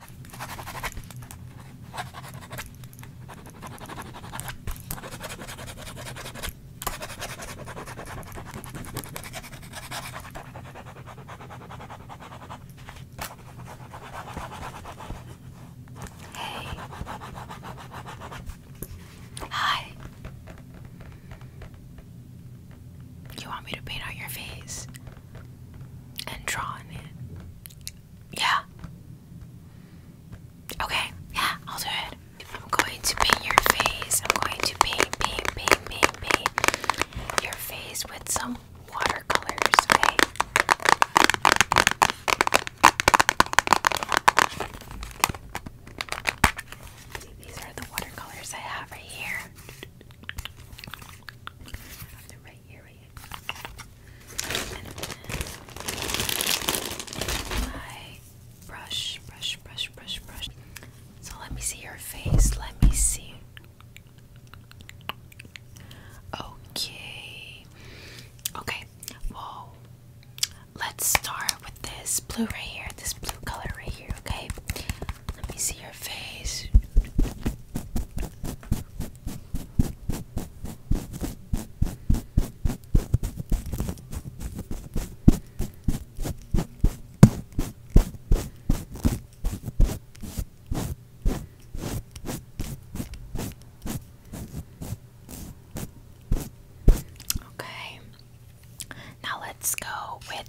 Hey. Hi. You want me to paint on your face? and draw on it. Yeah. Okay, yeah, I'll do it. I'm going to paint your face. I'm going to paint, paint, paint, paint, paint your face with some watercolors, okay? See, these are the watercolors I have right here. I have right here, my brush, brush, brush, brush, brush. So let me see your face. Let me see. Okay. Okay. Whoa. Let's start with this blue right here. This blue color right here. Okay. Let me see your face. Okay. Now let's go with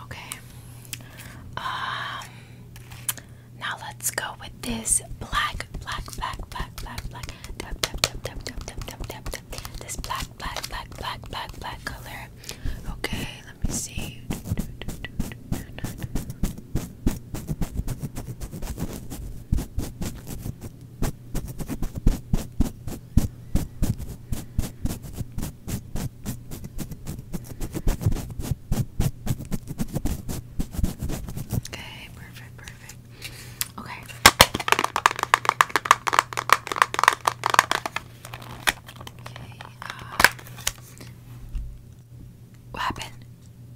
Okay. Um now let's go with this black black black black black black this black black black black black black color. Okay, let me see. Okay, perfect, perfect. Okay. Okay. Uh, what happened?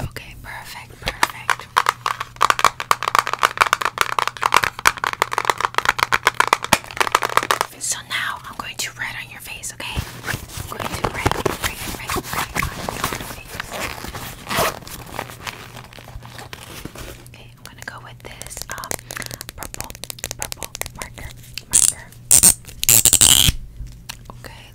Okay, perfect, perfect. So now I'm going to write on your face, okay? I'm going to write, write, write, write Okay, I'm gonna go with this um, purple, purple marker, marker. Okay,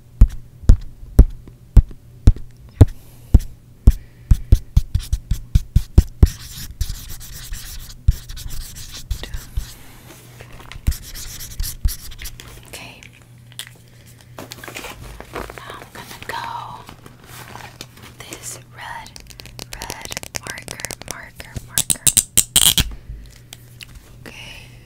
Okay. Now I'm gonna go this red, red marker, marker, marker. Okay.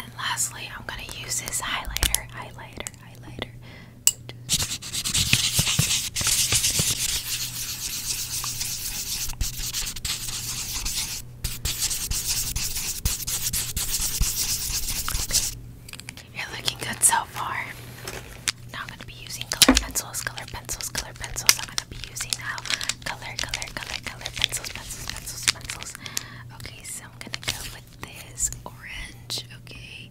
And lastly, I'm going to use this highlighter, highlighter, highlighter. Okay. You're looking good so far. Now I'm going to be using color pencils, color pencils, color pencils. I'm going to be using now color, color, color, color pencils, pencils, pencils, pencils. Okay, so I'm going to go with this orange. Okay. Okay.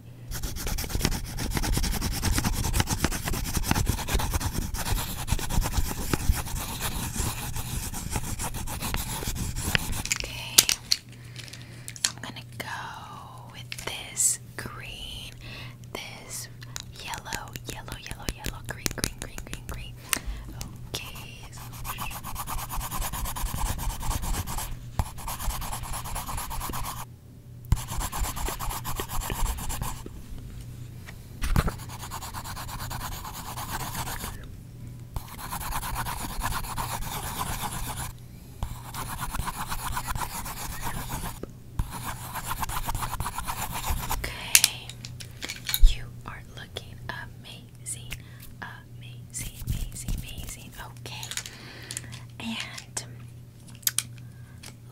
I'm gonna go with this green, this yellow, yellow, yellow, yellow, green, green, green, green, green. Okay. Okay, you are looking amazing, amazing, amazing, amazing. Okay, and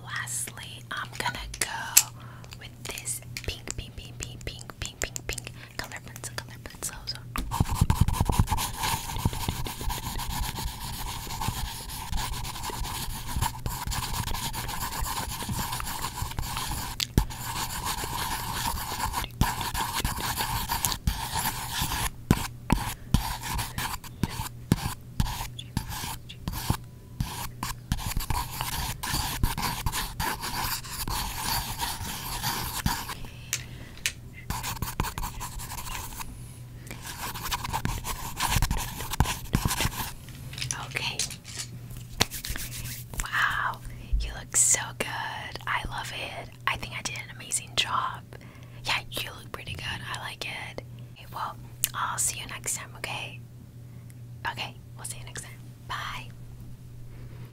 lastly, I'm gonna go with this pink, pink, pink, pink, pink, pink, pink, pink color pencil, color pencils. Okay. Wow, you look so good. I love it. I think I did an amazing job. Yeah, you look pretty good. I like it. Okay, well, I'll see you next time, okay? Okay, we'll see you next time. Bye.